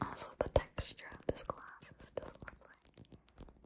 Also, the texture of this glass is just lovely.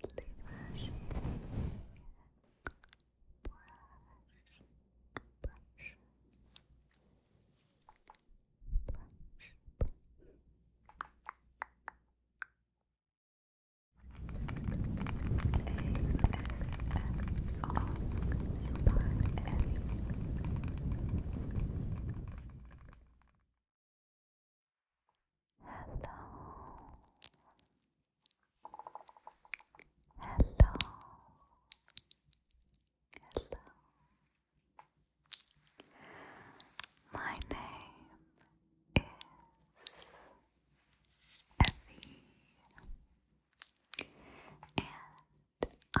Gently brushing, brush, brush, brush, brush. Hello. Hello. Hello. My name is Effie, and I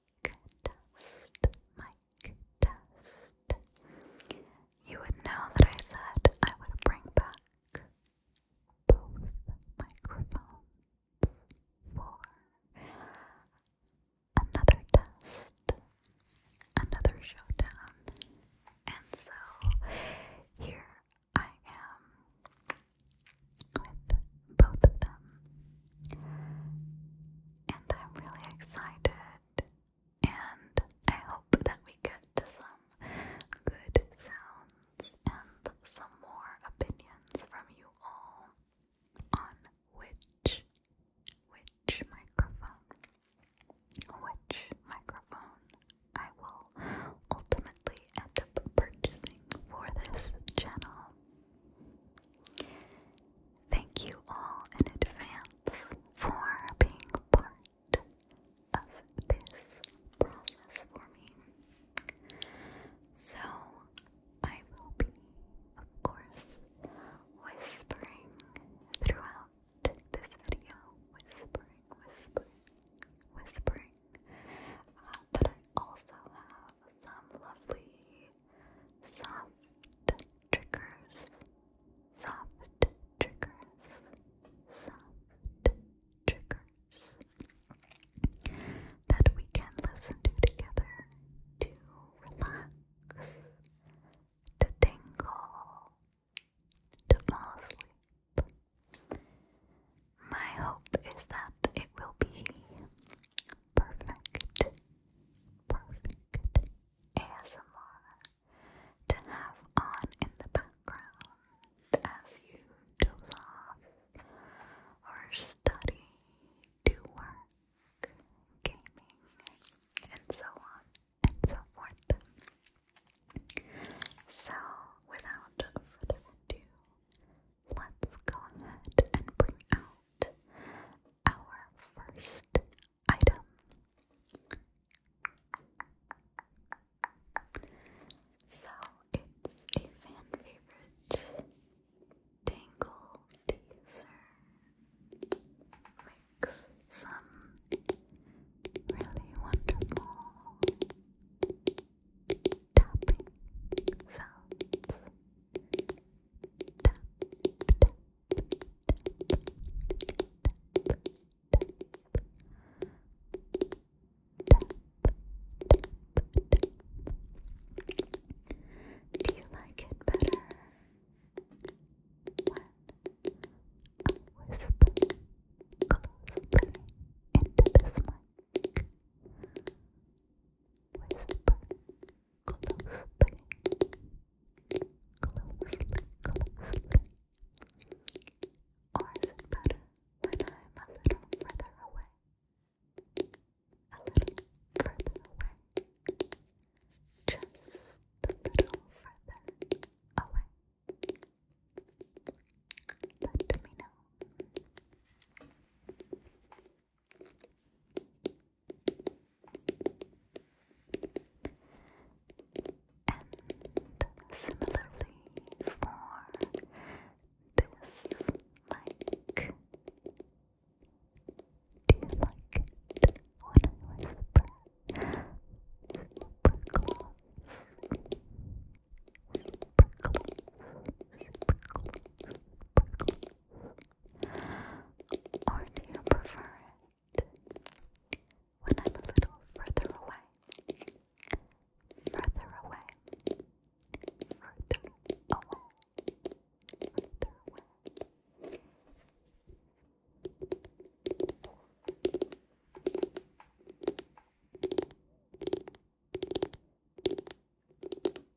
test, mic test. You would know that I said I would bring back both microphones for another test, another showdown, and so here I am with both of them. And I'm really excited, and I hope that we get some good sounds and some more opinions from you all on which, which microphone, which microphone I will ultimately end up purchasing for this channel. Thank you all in advance for being part of this process for me. So, I will be, of course, whispering throughout this video, whispering, whispering, whispering. Uh, but I also have some lovely soft triggers, soft triggers, soft triggers that we can listen to together to relax, to tingle, to fall asleep. My hope is that it will be perfect, perfect ASMR to have on in the background as you doze off or study, do work, gaming, and so on and so forth. So, without further ado, let's go ahead and bring out our first item. So it's a fan favorite Tangle Teaser. Makes some really wonderful tapping sounds. Do you like it better when I whisper closely into this mic? whisper, closely, closely, closely. Or is it better when I'm a little further away? A little further away. Just a little further away. Let me know. And similarly for this mic. Do you like Super close. Super close. Super close. Super close. Or do you prefer it when I'm a little further away? Further away. Further away. Further away. Further away.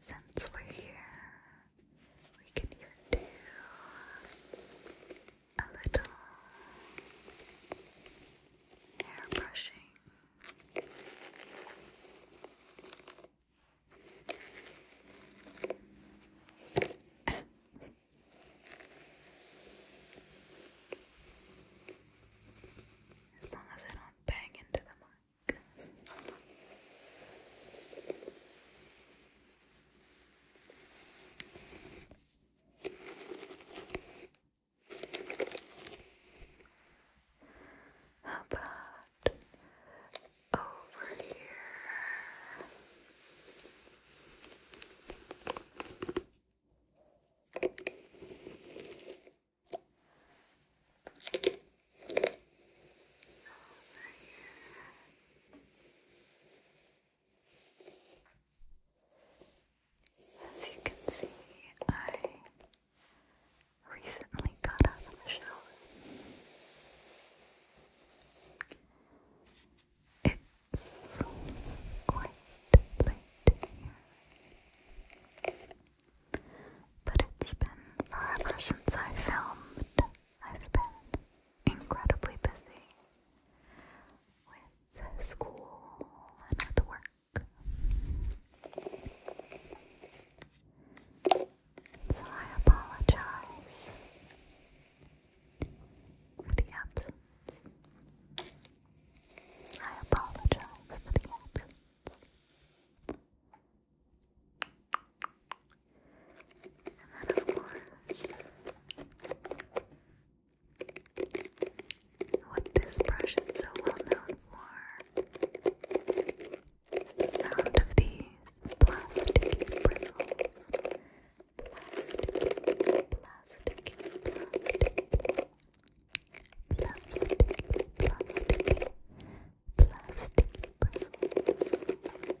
since we're here, we can even do a little hair brushing. As long as I don't bang into the mic. How about over here? Over here. As you can see, I recently got out It's quite late here. But it's been forever since I filmed. I've been incredibly busy with school and with work. So I apologize for the absence. I apologize for the absence. And then, what this brush is so well known for is the sound of these plastic bristles. plastic, plastic. Plastic, plastic, plastic bristles.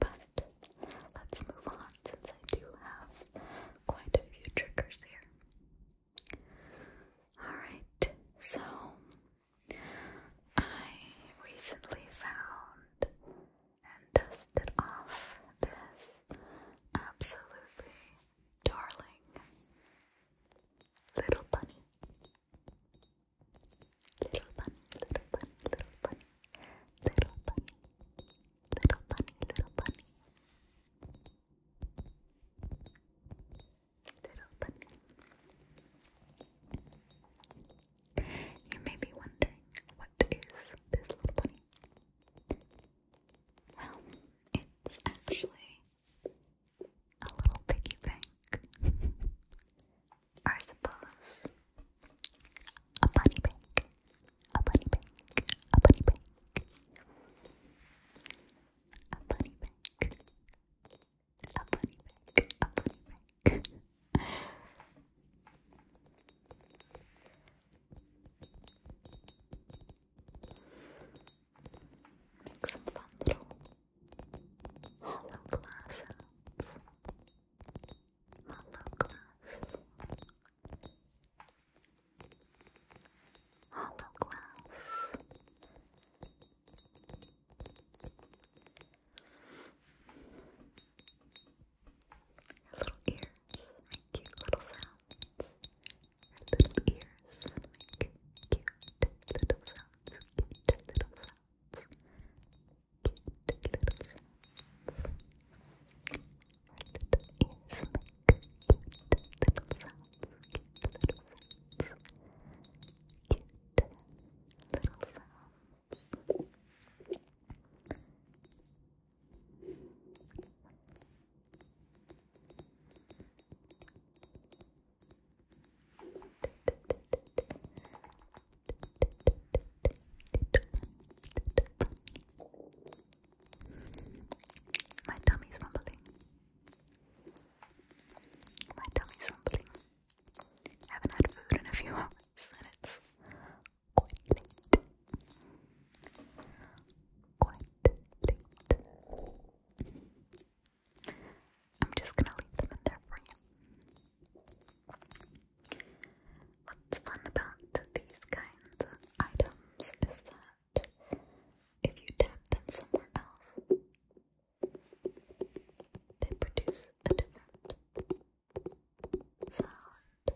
But let's move on since I do have quite a few triggers here. Alright, so I recently found and dusted off this absolutely darling little bunny. Little bunny, little bunny, little bunny. Little bunny, little bunny, little bunny. Little bunny. You may be wondering, what is this little bunny? Well, it's actually a little piggy bank. I suppose a bunny bank. A bunny bank. A bunny bank. A bunny bank. A bunny bank. A bunny bank. Make some fun little hollow hollow glass hollow glass little ears cute little sounds little ears make cute little sounds cute little sounds cute little sounds. little ears make cute little sounds, cute little sounds. My tummy's rumbling. My tummy's rumbling. I haven't had food in a few hours and it's I'm just gonna leave them in there for you. What's fun about these kinds of items is that if you tap them somewhere else, they produce a different sound.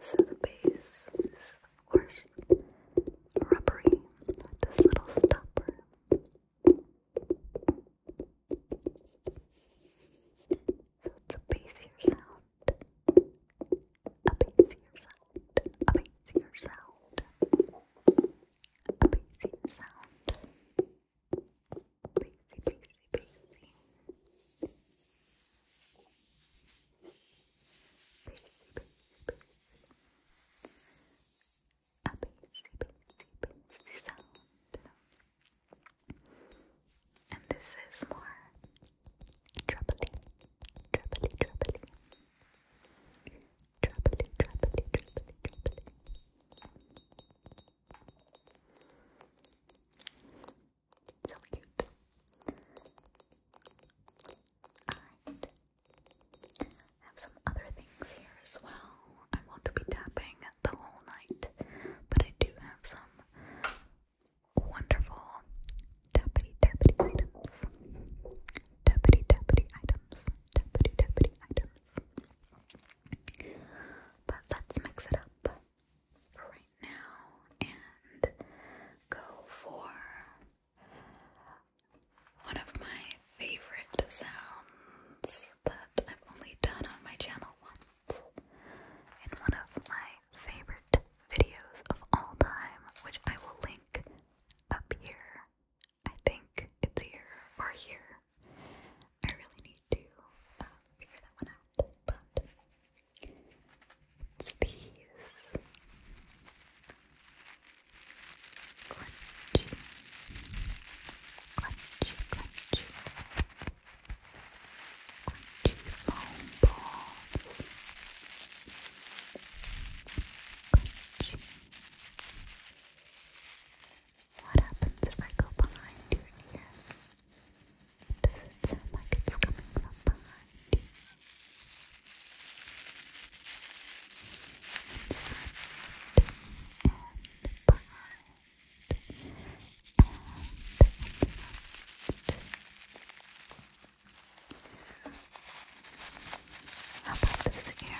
So the base is, of course, rubbery with this little stopper. So it's a bassier sound. A bassier sound. A bassier sound. A bassier sound. Bassy, bassy, bassy. Bassy, bassy, bassy. A bassy, bassy, bassy sound. sound. And this is more trebly, trebly, trebly, trebly, trebly, trebly, trebly. So cute. Alright. I have some other things here as well. I want to be tapping the whole night, but I do have some wonderful tappity tappity items. Tappity tappity items. Tappity tappity items. But let's mix it up right now and go for one of my favorite sounds that I've only done on my channel in one of my favorite videos of all time, which I will link up here. I think it's here or here. I really need to uh, figure that one out, but it's these foam What happens if I go behind your ear? Does it sound like it's coming from behind you? And behind. How about this ear?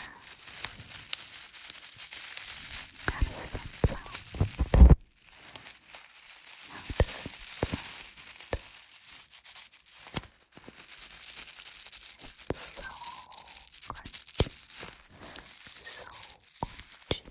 How does that sound? How does it sound? It's so crunchy. So crunchy.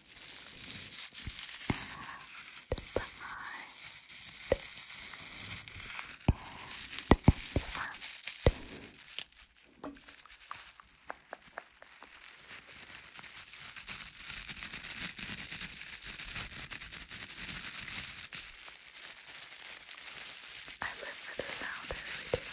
and behind and in front. I live for the sound, I really do.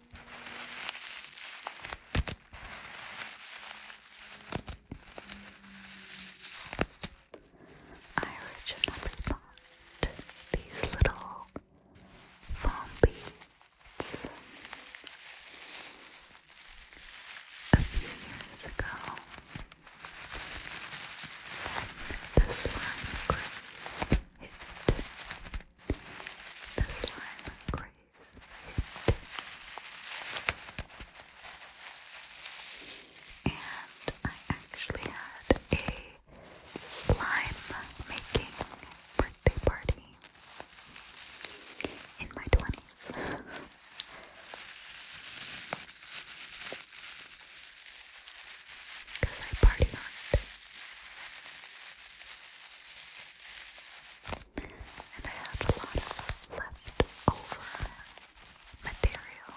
I originally bought these little foam a few years ago. The slime craze hit. The slime craze and I actually had a slime making birthday party in my 20s. Because I partied on and I had a lot of leftover material,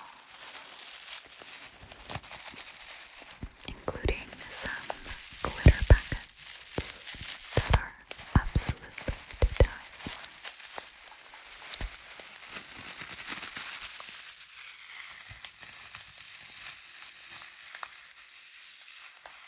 including some glitter packets that are absolutely to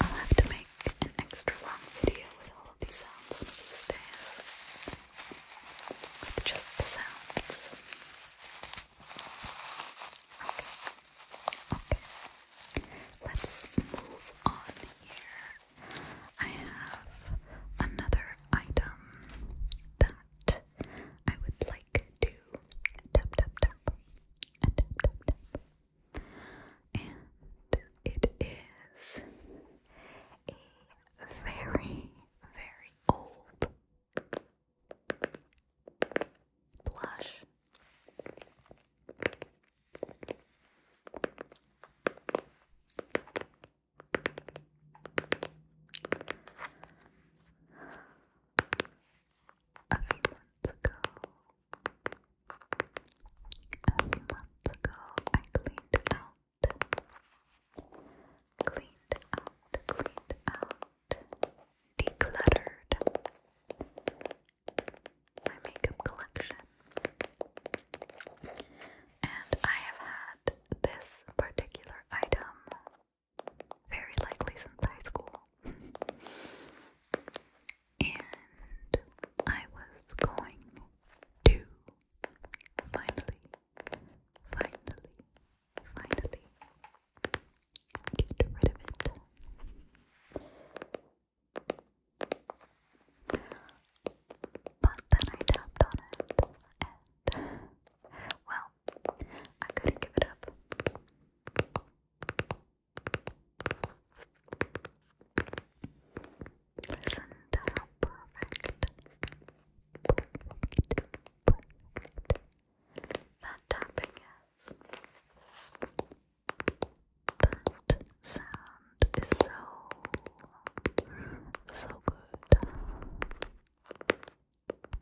I'll have to make an extra long video with all of these sounds with just the sounds. Okay. Okay. Let's move on here. I have another item that I would like to tap tap tap tap tap tap. And it is a very, very old Blush. A few months ago, a few months ago, I cleaned out cleaned out, cleaned out, decluttered my makeup collection. And I have had this particular item very likely since high school. and I was going to finally, finally, finally get rid of it. But then I tapped on it, and well, I couldn't give it up. Listen to perfect, that tapping is. That sound is so, so good.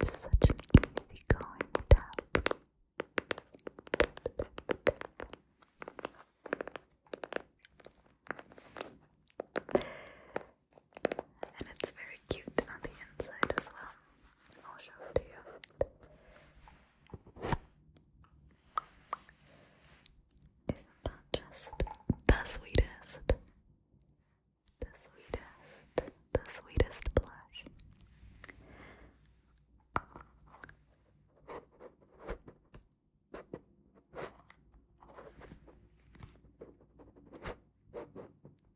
It's such an easy tap and it's very cute on the inside as well. I'll show it to you. Isn't that just the sweetest? The sweetest, the sweetest blush.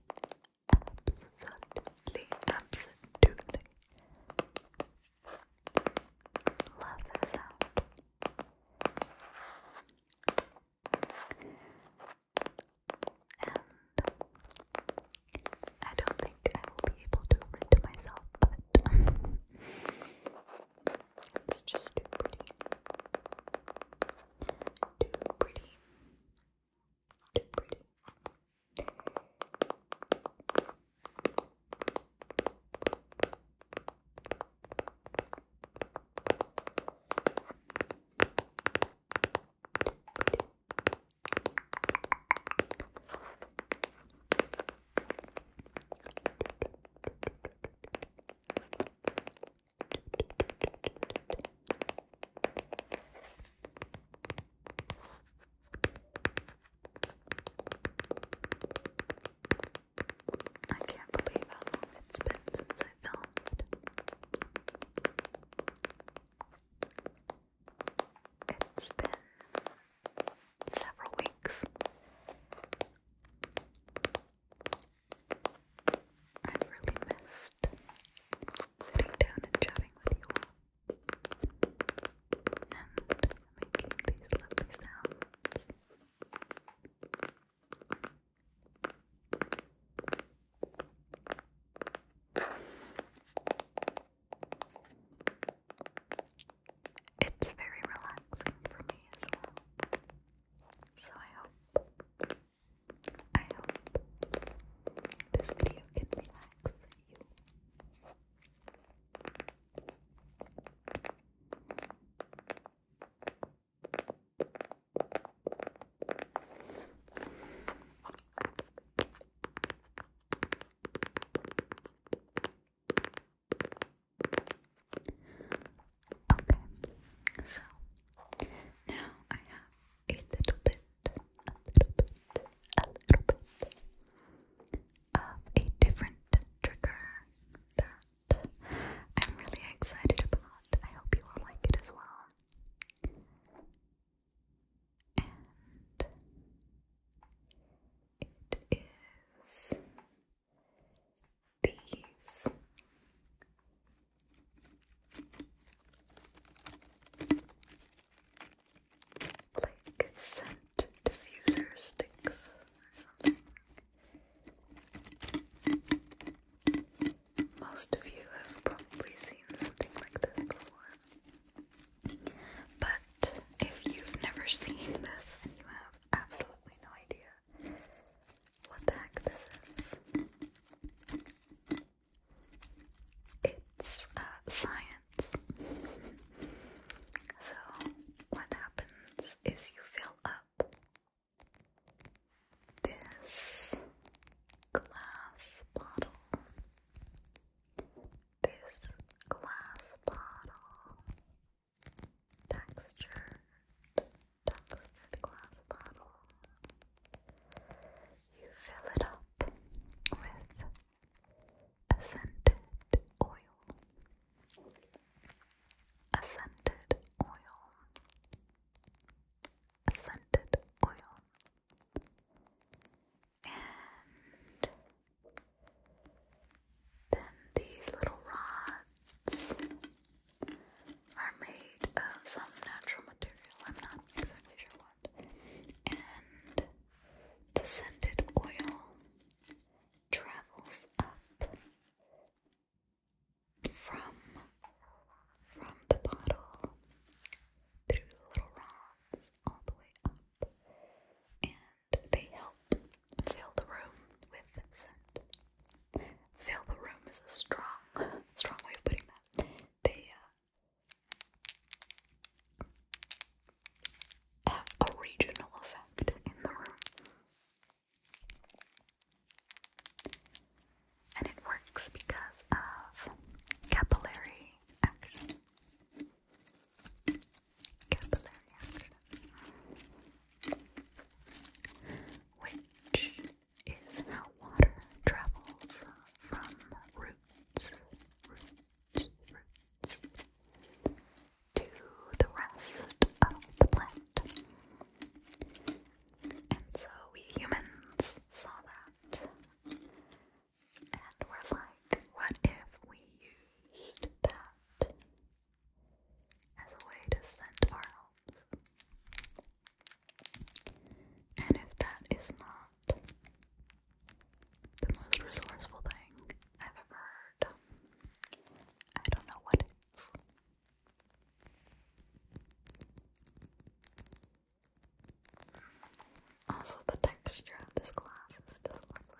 absolutely, absolutely love the And I don't think I will be able to read to myself, but it's just too pretty. Too pretty. Too pretty. I can't believe how long it's been since I filmed. It's been several weeks. I've really missed sitting down and chatting with you all and making these lovely sounds. It's very relaxing for me as well. So I hope I hope this video can relax you. Okay, so now I have a little bit, a little bit, a little bit of a different trigger that I'm really excited about. I hope you all like it as well. And it is these like scent diffuser sticks Most of you have probably seen something like this before. But if you've never seen this and you have absolutely no idea what the heck this is, it's uh, science. so, what happens is you fill up this glass bottle. This glass bottle textured tucks the glass bottle. You fill it up with a oil. A oil. A oil. And then these little rods are made of some natural material. I'm not exactly sure what. And the scented oil travels up from from the bottle through the little rods all the way up, and they help fill the room with scent. Fill the room is a strong, strong way of putting that they uh, have a regional effect in the room. And it works because of capillary action. Capillary action. Which is how water travels from roots, roots, roots to the rest of the plant. And so we humans saw that. And we like, what if we used that as a way to send our helps? And if that is not the most resourceful thing I've ever heard, I don't know what is. Also, the texture of this glass is just lovely.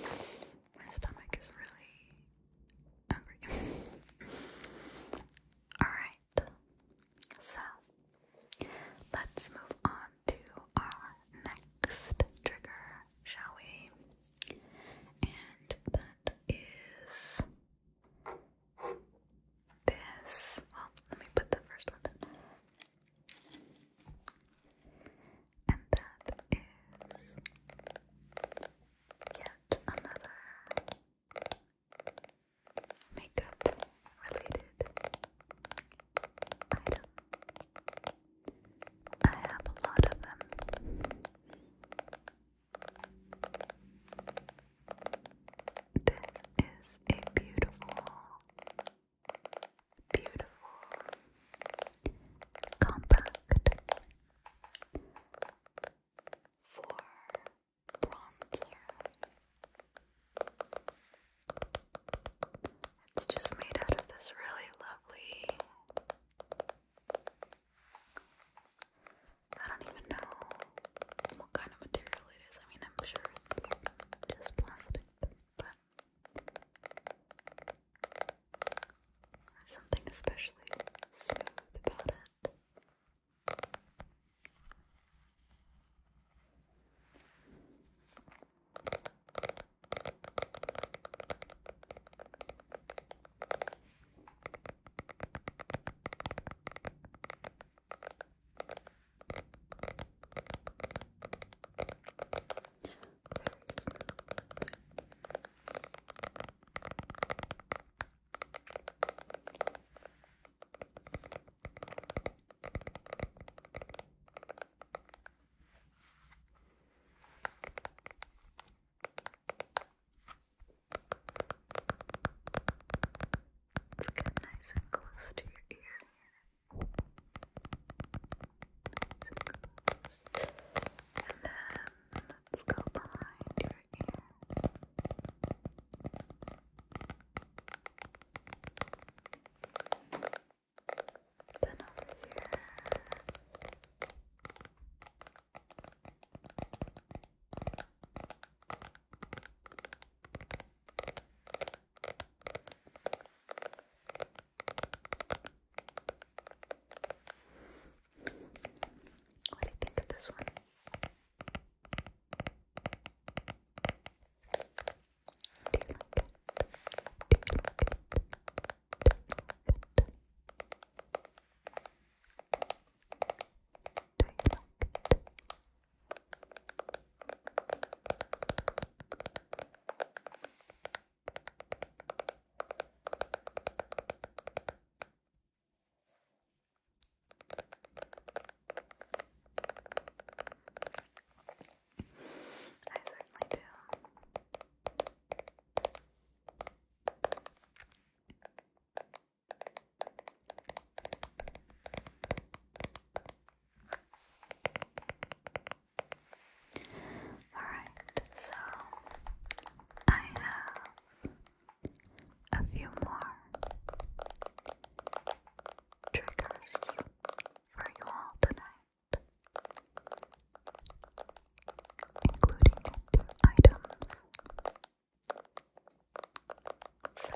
My stomach is really hungry. Alright, so let's move on to our next trigger, shall we? And that is this. Well, let me put the first one down. And that is yet another makeup related item. I have a lot of them. This is a beautiful Beautiful, compact for bronzer. It's just made out of this really lovely. I don't even know what kind of material it is. I mean, I'm sure it's just plastic, but there's something especially smooth about it. Let's get nice and close to your ear close. And then let's go behind your ear. Then over here. What do you think of this one? I certainly do. All Alright, so I have a few more triggers for you all tonight, including two items. So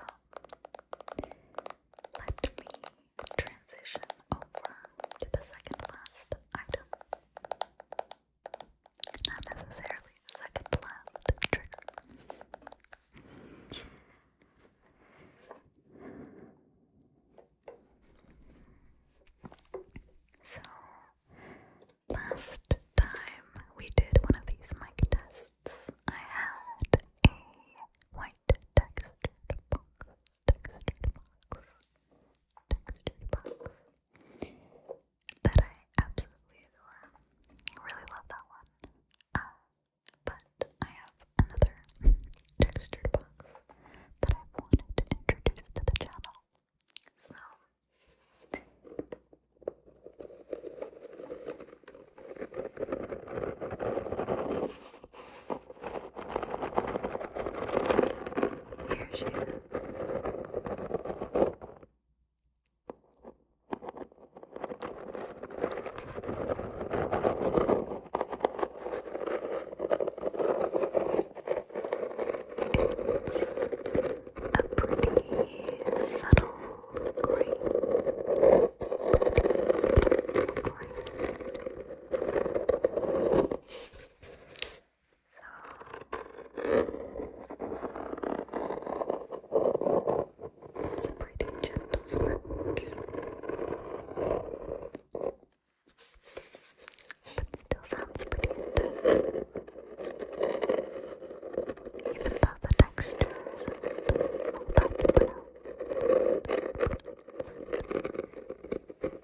let me transition over to the second last item. Not necessarily a second last trigger. so, last time we did one of these mic tests, I had a white Textured box. Uh, textured box that I absolutely adore. really love that one. but I have another textured box that I've wanted to introduce to the channel. So here she is. A pretty subtle green, subtle green it's a pretty gentle scratch. But still sounds pretty intense. Even though the texture isn't all that well.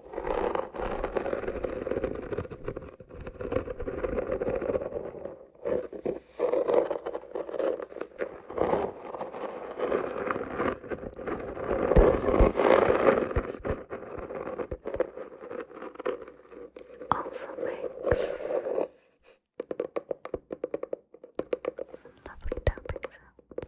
Also makes some lovely tapping sounds.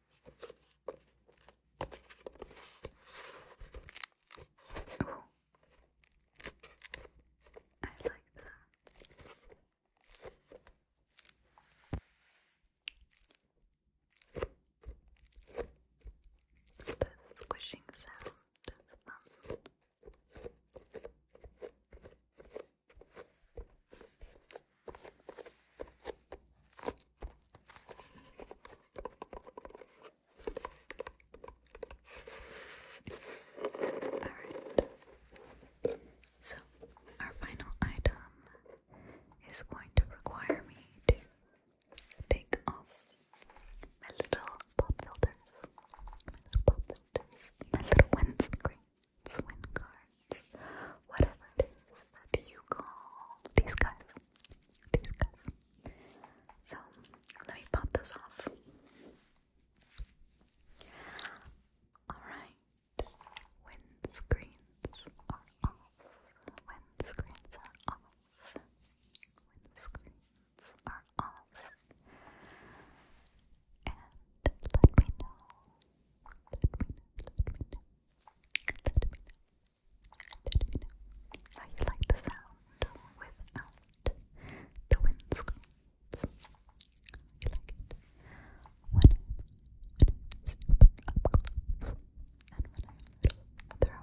Oh, I like that. The squishing sound is fun. So, our final item is going to require me to take off my little pop filters. My little pop My little guard friends, whatever it is that you call these guys. These guys. So let me pop this off. Alright. Windscreens are off. Windscreens are off. Windscreens are off. And let me know. Let me know. Let me know. Let me know. Let how you like the sound without the windscreens. You like it when I'm, when i up close and when I'm a little further away.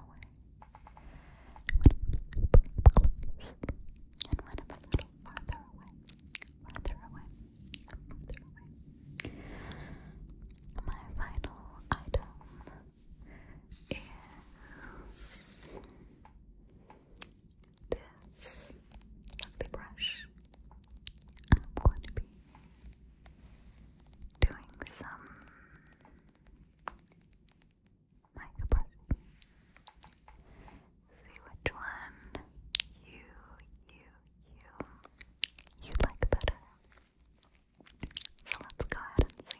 When I'm up close and when I'm a little farther away, farther away, farther away. My final item is this lovely brush. I'm going to be doing some mic brushing. See which one you, you, you, you like better. So let's go ahead and see.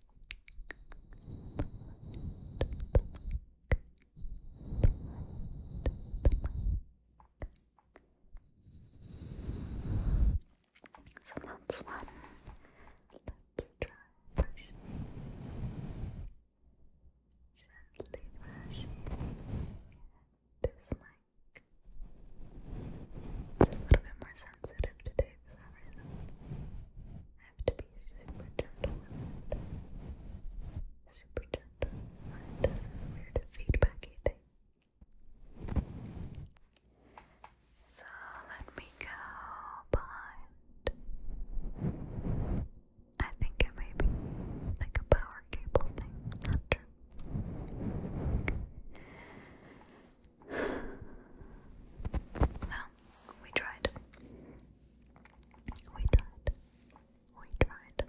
So that's one. Let's try Gently brushing this mic. It's a little bit more sensitive today for some reason have to be super gentle Super gentle. It does this weird feedbacky thing. So let me go behind. I think it may be like a power cable thing. Not true. Well, we tried. We tried. We tried.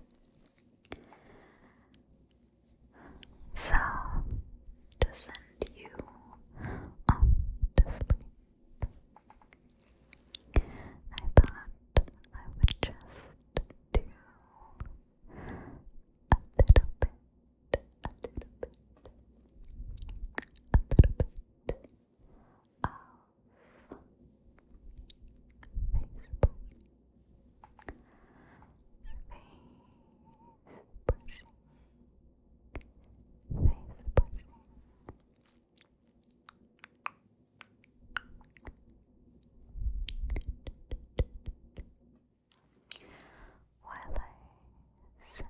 So, to send you off to sleep, I thought I would just do a little bit, a little bit, a little bit of Facebook. Face brushing. While I send you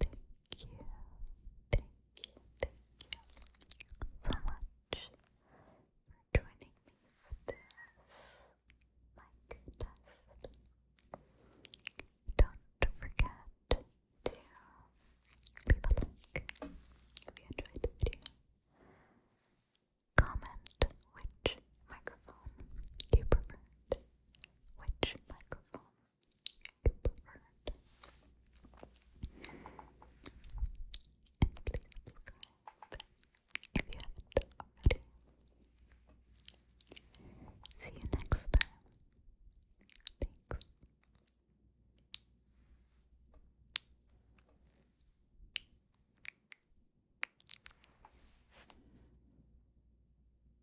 Thank you, thank you, thank you so much for joining me for this mic test. Don't forget to leave a like if you enjoyed the video. Comment which microphone you preferred which microphone you preferred. And please subscribe if you haven't already. See you next time. Thanks.